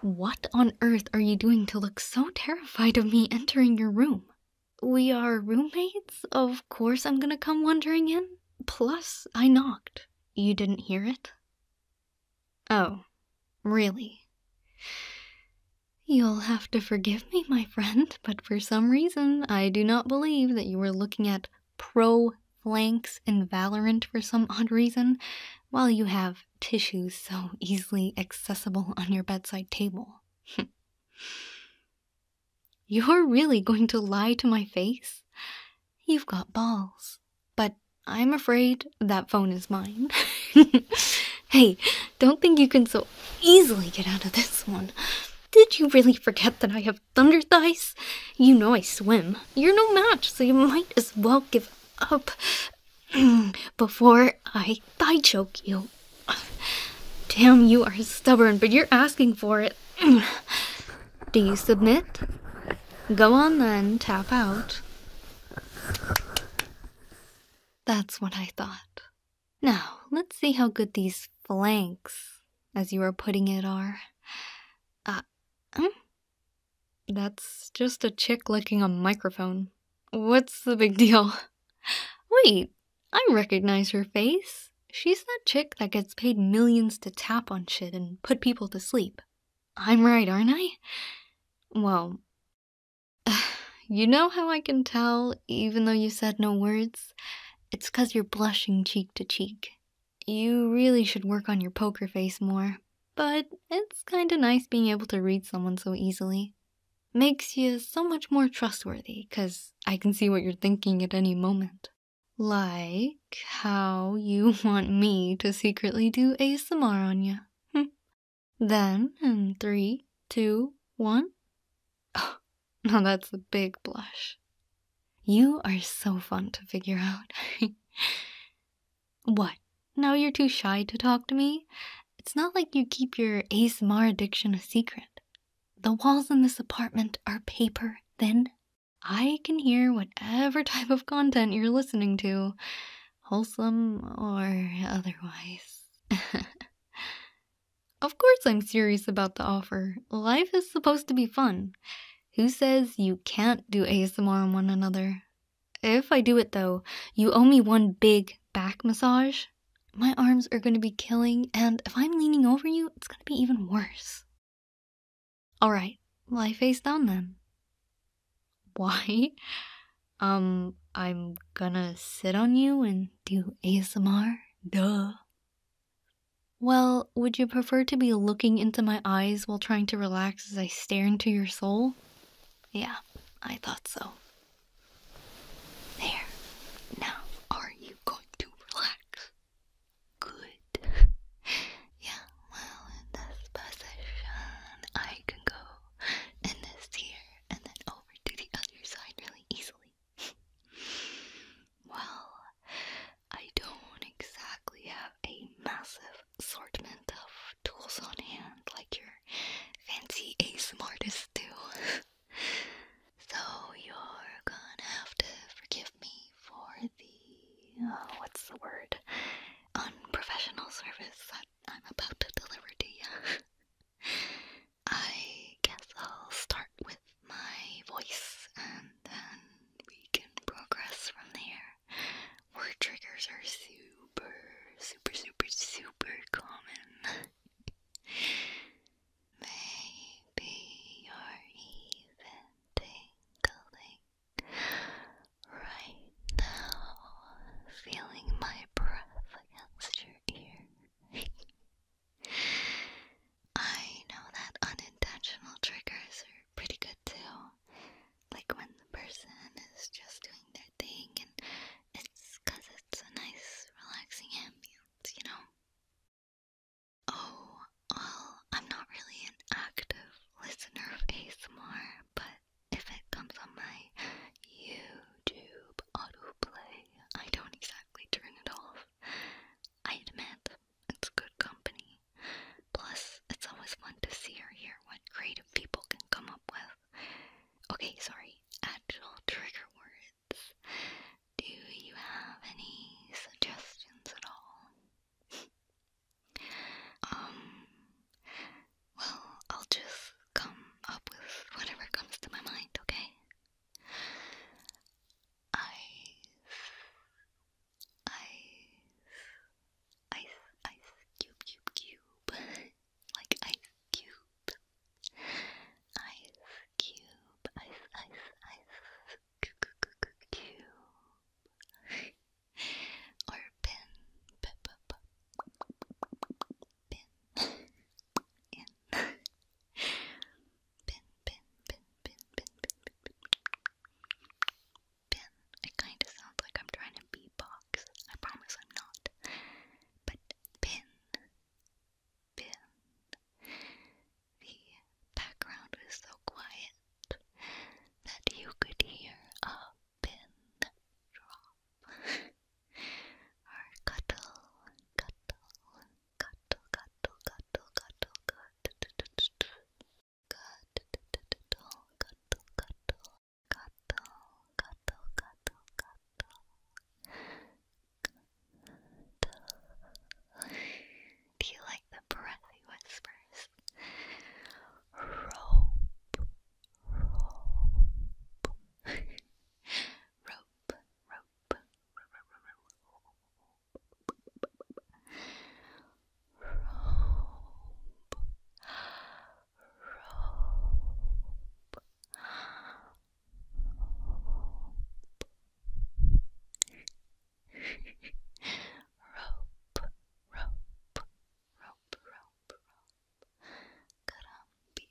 What on earth are you doing to look so terrified of me entering your room? We are roommates? Of course I'm gonna come wandering in. Plus, I knocked. You didn't hear it? Oh, really? You'll have to forgive me, my friend, but for some reason, I do not believe that you were looking at pro and in Valorant for some odd reason, while you have tissues so easily accessible on your bedside table. You're really going to lie to my face? You've got balls, but I'm afraid that phone is mine. hey, don't think you can so easily get out of this one. Did you really forget that I have thunder thighs? You know I swim. You're no match, so you might as well give up before I thigh choke you. Damn, you are stubborn, but you're asking for it. Do you submit? Go on then, tap out. That's what I thought. Now, let's see how good these flanks, as you are putting it, are. Uh, hmm? That's just a chick licking a microphone. What's the big deal? Wait, I recognize her face. She's that chick that gets paid millions to tap on shit and put people to sleep. I'm right, aren't I? Well, you know how I can tell, even though you said no words? It's you you're blushing cheek to cheek. You really should work on your poker face more, but it's kinda nice being able to read someone so easily. Makes you so much more trustworthy 'cause I can see what you're thinking at any moment. Like how you want me to secretly do a ASMR on you. Hmm. then, in three, two, one. Oh, now that's a big blush. You are so fun to figure out. what? Now you're too shy to talk to me? It's not like you keep your ASMR addiction a secret. The walls in this apartment are paper Then I can hear whatever type of content you're listening to, wholesome or otherwise. Of course, I'm serious about the offer. Life is supposed to be fun. Who says you can't do ASMR on one another? If I do it though, you owe me one big back massage. My arms are going to be killing, and if I'm leaning over you, it's going to be even worse. Alright, lie face down then. Why? Um, I'm gonna sit on you and do ASMR? Duh. Well, would you prefer to be looking into my eyes while trying to relax as I stare into your soul? Yeah, I thought so. There. Now, are you going to relax? Good. yeah, well, in this position, I can go in this here and then over to the other side really easily well, I don't exactly have a massive assortment of tools on hand like your fancy ASMR artists do. so you're gonna have to forgive me for the, uh, what's the word, unprofessional service that I'm about to deliver to you. I guess I'll start with my voice and then we can progress from there. Word triggers are super, super, super, super common. Maybe you're even tingling right now, feeling my breath against your ear. I know that unintentional triggers are pretty good too. Like when the person is just doing their thing and it's it's a nice, relaxing ambience, you know? Oh, well, I'm not really an active listener of ASMR, but if it comes on my YouTube autoplay, I don't exactly turn it off. I admit, it's good company. Plus, it's always fun to see or hear what creative people can come up with. Okay, sorry, actual trigger words. Do you have any suggestions at all? um, well, I'll just come up with whatever comes to my mind, okay? ice, ice, ice, ice, cube, cube, cube, like ice cube, ice cube, ice, ice, ice, cube, or pin, pin, pin, pin, pin, pin, pin, pin, pin, pin, pin, pin, pin. It kind of sounds like I'm trying to beatbox. I promise I'm not. But pin, pin. The background was so quiet that you could hear a pin drop. or cuddle, cuddle, do you like the breathy whispers? Rope, rope. rope, rope, rope. Rope. Rope. rope, rope, rope, rope, rope. Grumpy,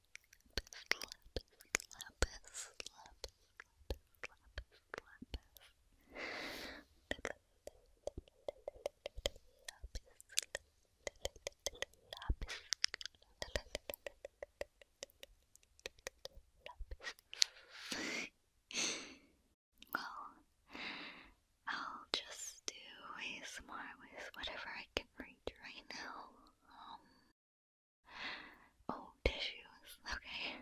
lapis, lapis, well, I'll just do ASMR with whatever I can read right now um, oh, tissues, okay,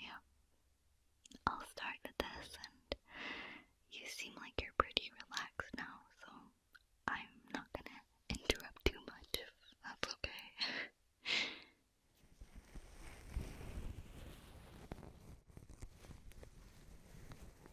yeah, I'll start with this, and you seem like you're pretty relaxed now, so I'm not gonna interrupt too much, if that's okay.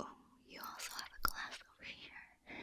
Oh, you also have a glass over here.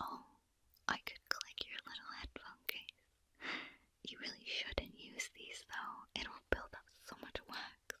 Oh, I could click your little headphone case. You really shouldn't use these though, it'll build up so much wax.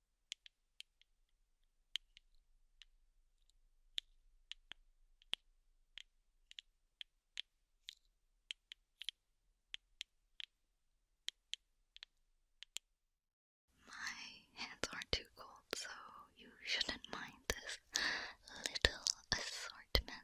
My hands are too cold, so you shouldn't mind this little assortment.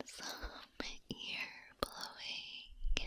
And some ear blowing.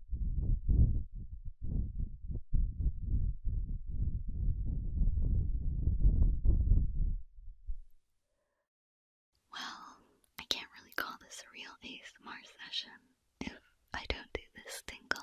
Well, I can't really call this a real ASMR session if I don't do this tingle.